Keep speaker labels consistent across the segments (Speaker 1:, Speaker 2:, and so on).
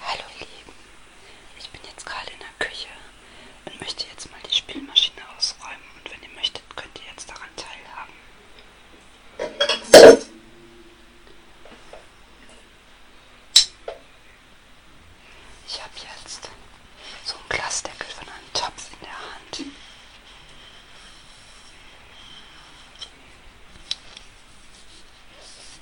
Speaker 1: Hallo ihr Lieben, ich bin jetzt gerade in der Küche und möchte jetzt mal die Spülmaschine ausräumen und wenn ihr möchtet, könnt ihr jetzt daran teilhaben. Ich habe jetzt so einen Glasdeckel von einem Topf in der Hand.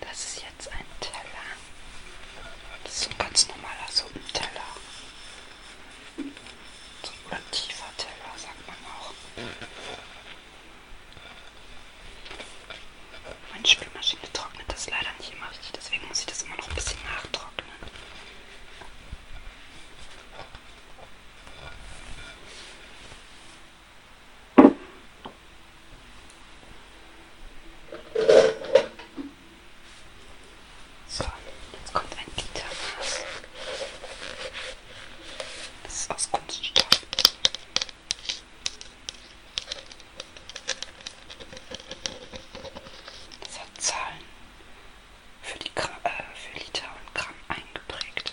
Speaker 1: Das ist jetzt ein Teller. Das ist ein ganz normaler Suppenteller. So ein tiefer Teller, sagt man auch. Meine Spülmaschine trocknet das leider nicht immer richtig, deswegen muss ich das immer noch ein bisschen nachtrocknen. So, jetzt kommt ein Litermaß. Das ist aus Kunststoff. Das hat Zahlen für, die Gra äh, für Liter und Gramm eingeprägt.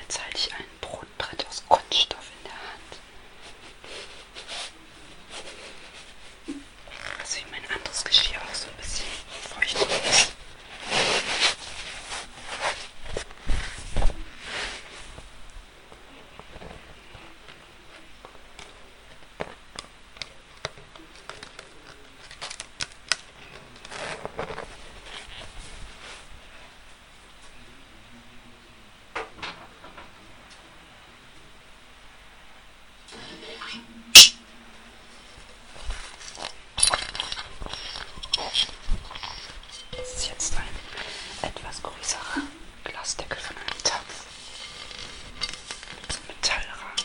Speaker 1: Jetzt halte ich ein Brotbrett aus Kunststoff in der Hand. Also wie mein anderes Geschirr auch so ein bisschen feucht ist. Das ist jetzt ein etwas größerer Glasdeckel von einem Topf mit so einem Metallrahmen.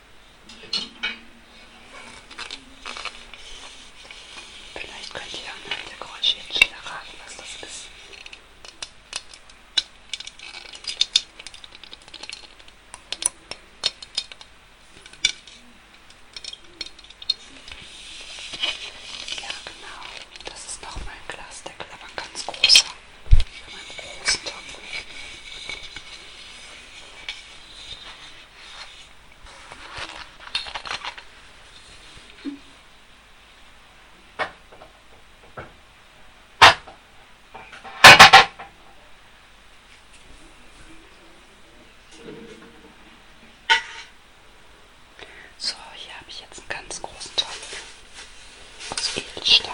Speaker 1: Vielleicht könnt ihr dann mit der Geräuschchen erraten, was das ist. Ja, genau. Das ist nochmal ein Glasdeckel, aber ein ganz großer. Mit einem großen Topf. So, hier habe ich jetzt einen ganz großen Topf aus Edelstahl.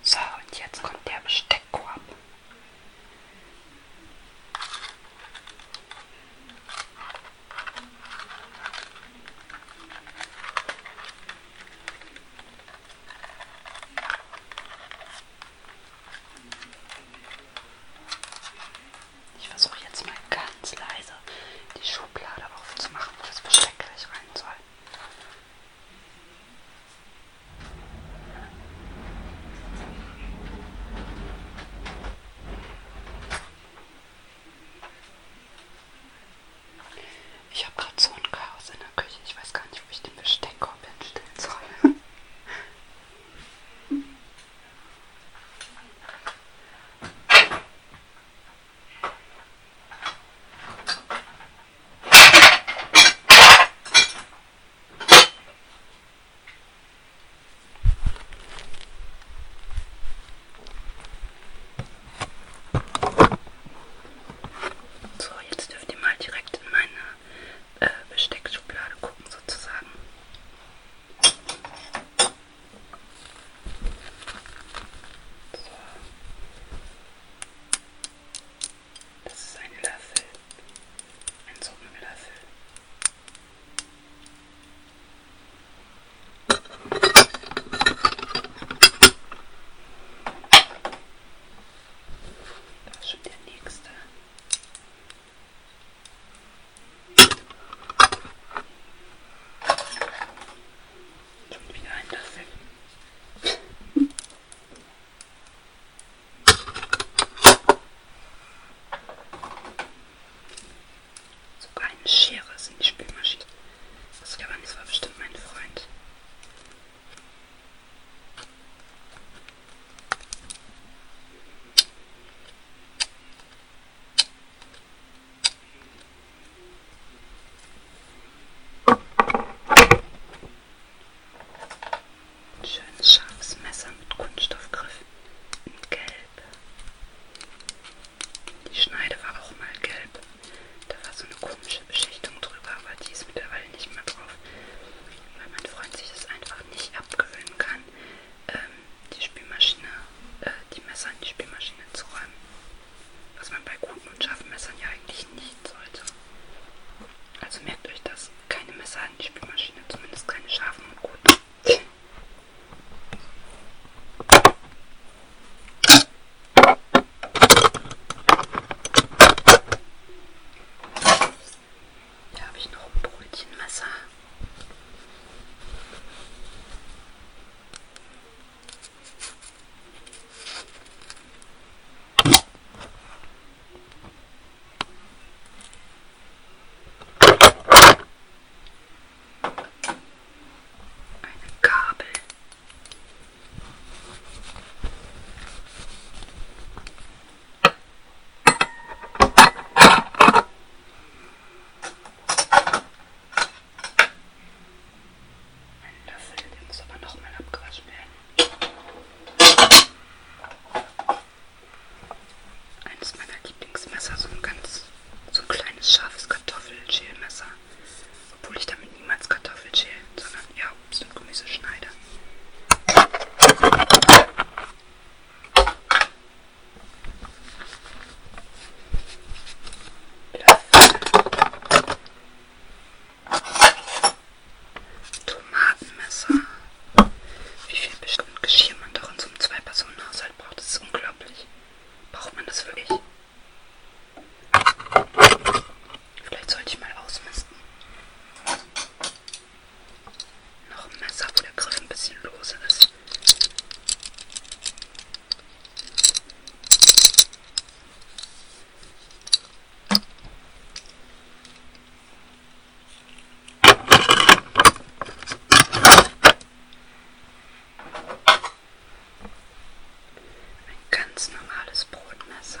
Speaker 1: So, und jetzt kommt der Besteckkorb. Ich versuche jetzt mal ganz leise die Schublade aufzumachen, wo das Besteck gleich rein soll. Ich habe gerade so ein Chaos in der Küche. Ich weiß gar nicht, wo ich den Besteckkorb hinstellen soll. So, jetzt dürft ihr mal direkt in meine äh, Besteckschublade gucken, sozusagen. So. Das ist ein Löffel, ein Suppenlöffel. Da ist schon der nächste. Schon wieder ein Löffel. Sogar eine Schere ist in die Spülmaschine. Das war, das war bestimmt mein Freund. Ein schönes scharfes Messer mit Kunststoffgriff und gelb. Die Schneide war auch mal gelb. Da war so eine komische Beschichtung drüber, aber die ist mittlerweile nicht mehr drauf, weil mein Freund sich das einfach nicht abgewöhnen kann, ähm, die Spülmaschine, äh, die Messer in die Spülmaschine zu räumen. Was man bei guten und scharfen Messern ja eigentlich nicht sollte. Also merkt euch das, keine Messer in die Spülmaschine, zumindest keine scharfen und guten. Da habe ich noch ein Brötchenmesser. Eine Gabel. Ein Löffel, der muss aber nochmal abgewaschen werden. Eines meiner Lieblingsmesser, so ein ganz, so ein kleines scharfes Kartoffelschälmesser. Obwohl ich damit niemals Kartoffeln schäle, sondern eher Obst und Gemüse schneide. Tomatenmesser. Wie viel bestimmt Geschirr man doch in so einem Zwei-Personen-Haushalt braucht, das ist unglaublich. Braucht man das wirklich? Vielleicht sollte ich mal ausmisten. Noch ein Messer, wo der Griff ein bisschen lose ist. Ein ganz normales Brotmesser.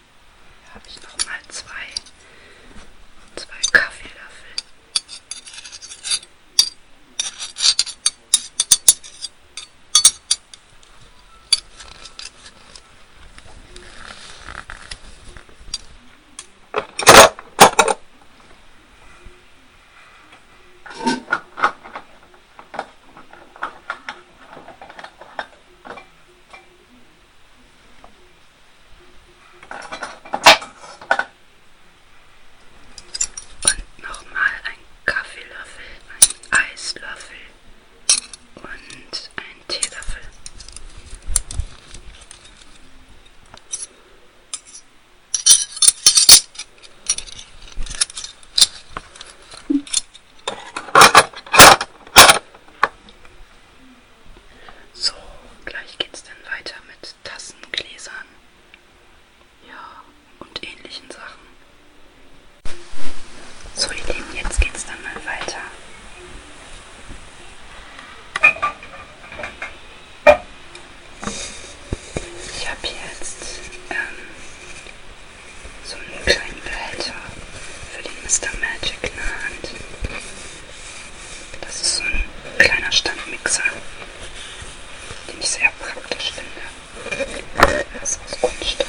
Speaker 1: Hier habe ich nochmal zwei, zwei Kaffeelöffel. Und nochmal ein Kaffeelöffel, ein Eislöffel und ein Teelöffel. So, gleich geht's dann weiter mit Tassen, Gläsern, ja, und ähnlichen Sachen. So, ihr Lieben, jetzt geht's dann mal weiter. Ich habe jetzt ähm, so einen kleinen Behälter für den Mr. Magic in der Hand. Das ist so ein kleiner Standmixer, den ich sehr praktisch finde. Er ist aus Kunststoff.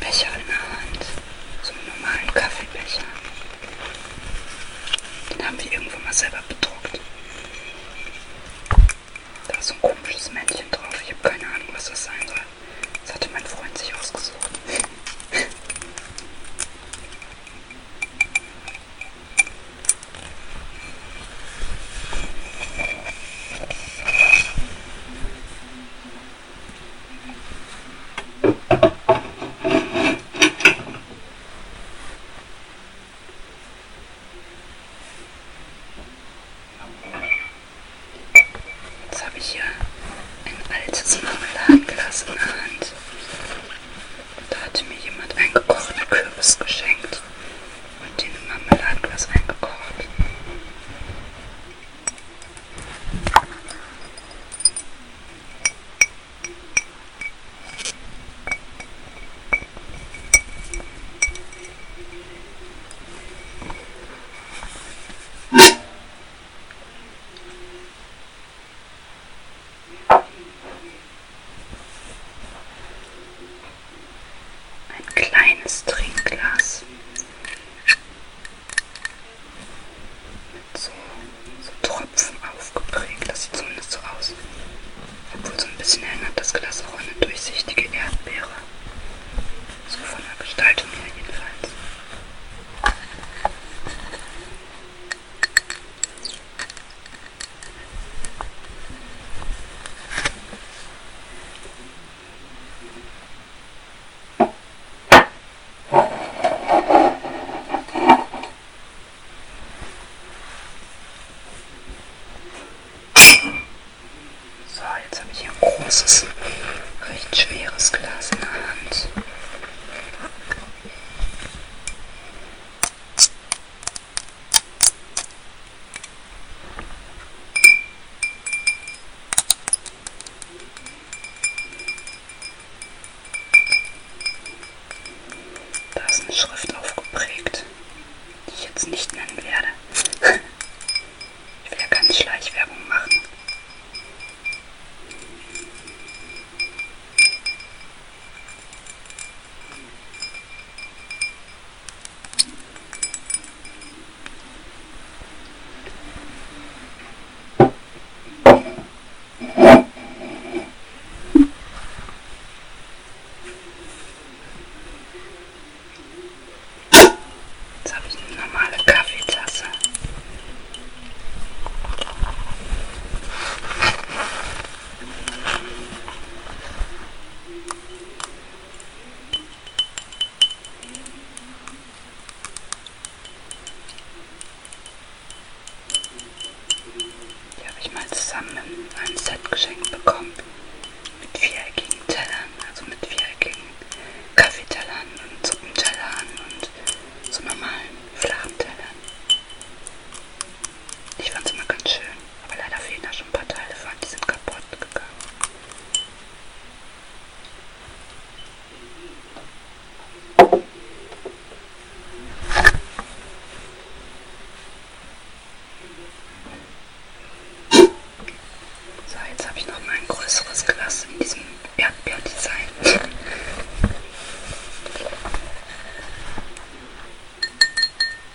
Speaker 1: Becher in der Hand. So einen normalen Kaffeebecher. Den haben wir irgendwo mal selber bedruckt. Da ist so ein komisches Männchen drauf. Ich habe keine Ahnung, was das sein soll. Das hatte mein Freund sich ausgesucht. Jetzt habe ich hier ein altes Marmeladenglas in der Hand. Da hatte mir jemand einen gekochten Kürbis geschenkt und in ein Marmeladenglas eingekocht. Ein kleines Trinkglas. Mit so, so Tropfen aufgeprägt. Das sieht zumindest so aus. Obwohl so ein bisschen erinnert das Glas auch an eine durchsichtige Erdbeere. So von der Gestaltung her jedenfalls. So, jetzt habe ich hier ein großes, recht schweres Glas in der Hand. Da ist eine Schrift aufgeprägt, die ich jetzt nicht nennen werde. Ich will ja keine Schleichwerbung machen. Jetzt habe ich eine normale Kaffeetasse. Die habe ich mal zusammen in einem Set geschenkt bekommen. Mit viereckigen Tellern, also mit viereckigen Kaffeetellern und Suppentellern und so normalen flachen Tellern. Ich fand es immer ganz schön schön. Aber leider fehlen da schon ein paar Teile von, die sind kaputt gegangen. So, jetzt habe ich noch mal ein größeres Glas in diesem Erdbeerdesign.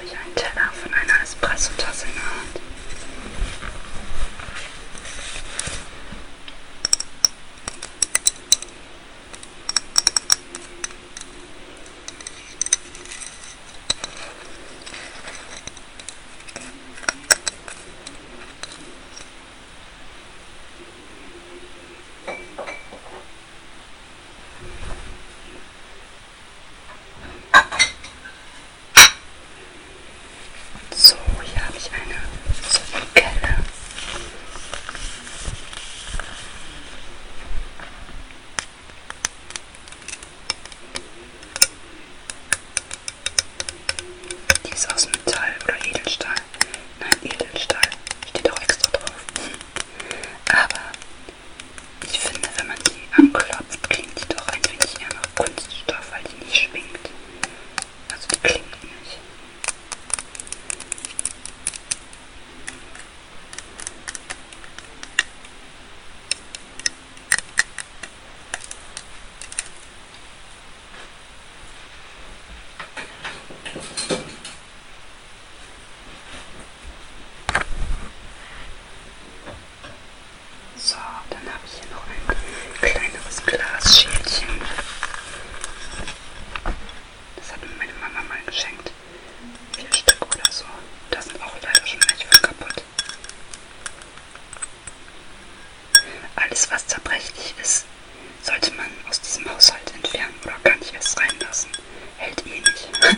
Speaker 1: habe ich einen Teller von einer Espresso-Tasse in der Hand. So, hier habe ich eine Suppenkelle. Die ist aus Metall oder Edelstahl. Nein, Edelstahl. Steht auch extra drauf. Aber ich finde, wenn man die anklopft, klingt die doch ein wenig eher nach Kunststoff, weil die nicht schwingt. Also die klingt nicht. So, dann habe ich hier noch ein kleineres Glasschälchen. Das hat mir meine Mama mal geschenkt. Vier Stück oder so. Da sind auch leider schon manche von kaputt. Alles, was zerbrechlich ist, sollte man aus diesem Haushalt entfernen oder gar nicht erst reinlassen. Hält eh nicht.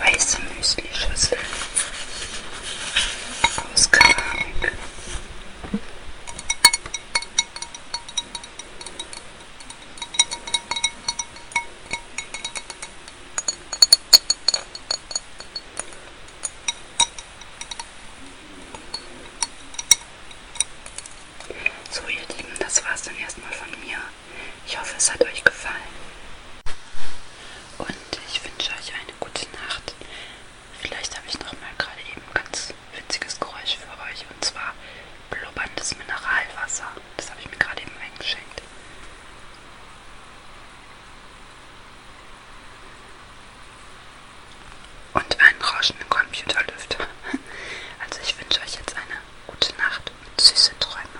Speaker 1: weiße Müslischüssel aus Keramik. So ihr Lieben, das war's dann erstmal von mir. Ich hoffe, es hat euch gefallen. Und ich wünsche euch eine gute Nacht. Vielleicht habe ich noch mal gerade eben ein ganz witziges Geräusch für euch. Und zwar blubberndes Mineralwasser. Das habe ich mir gerade eben eingeschenkt. Und einen rauschenden Computerlüfter. Also ich wünsche euch jetzt eine gute Nacht und süße Träume.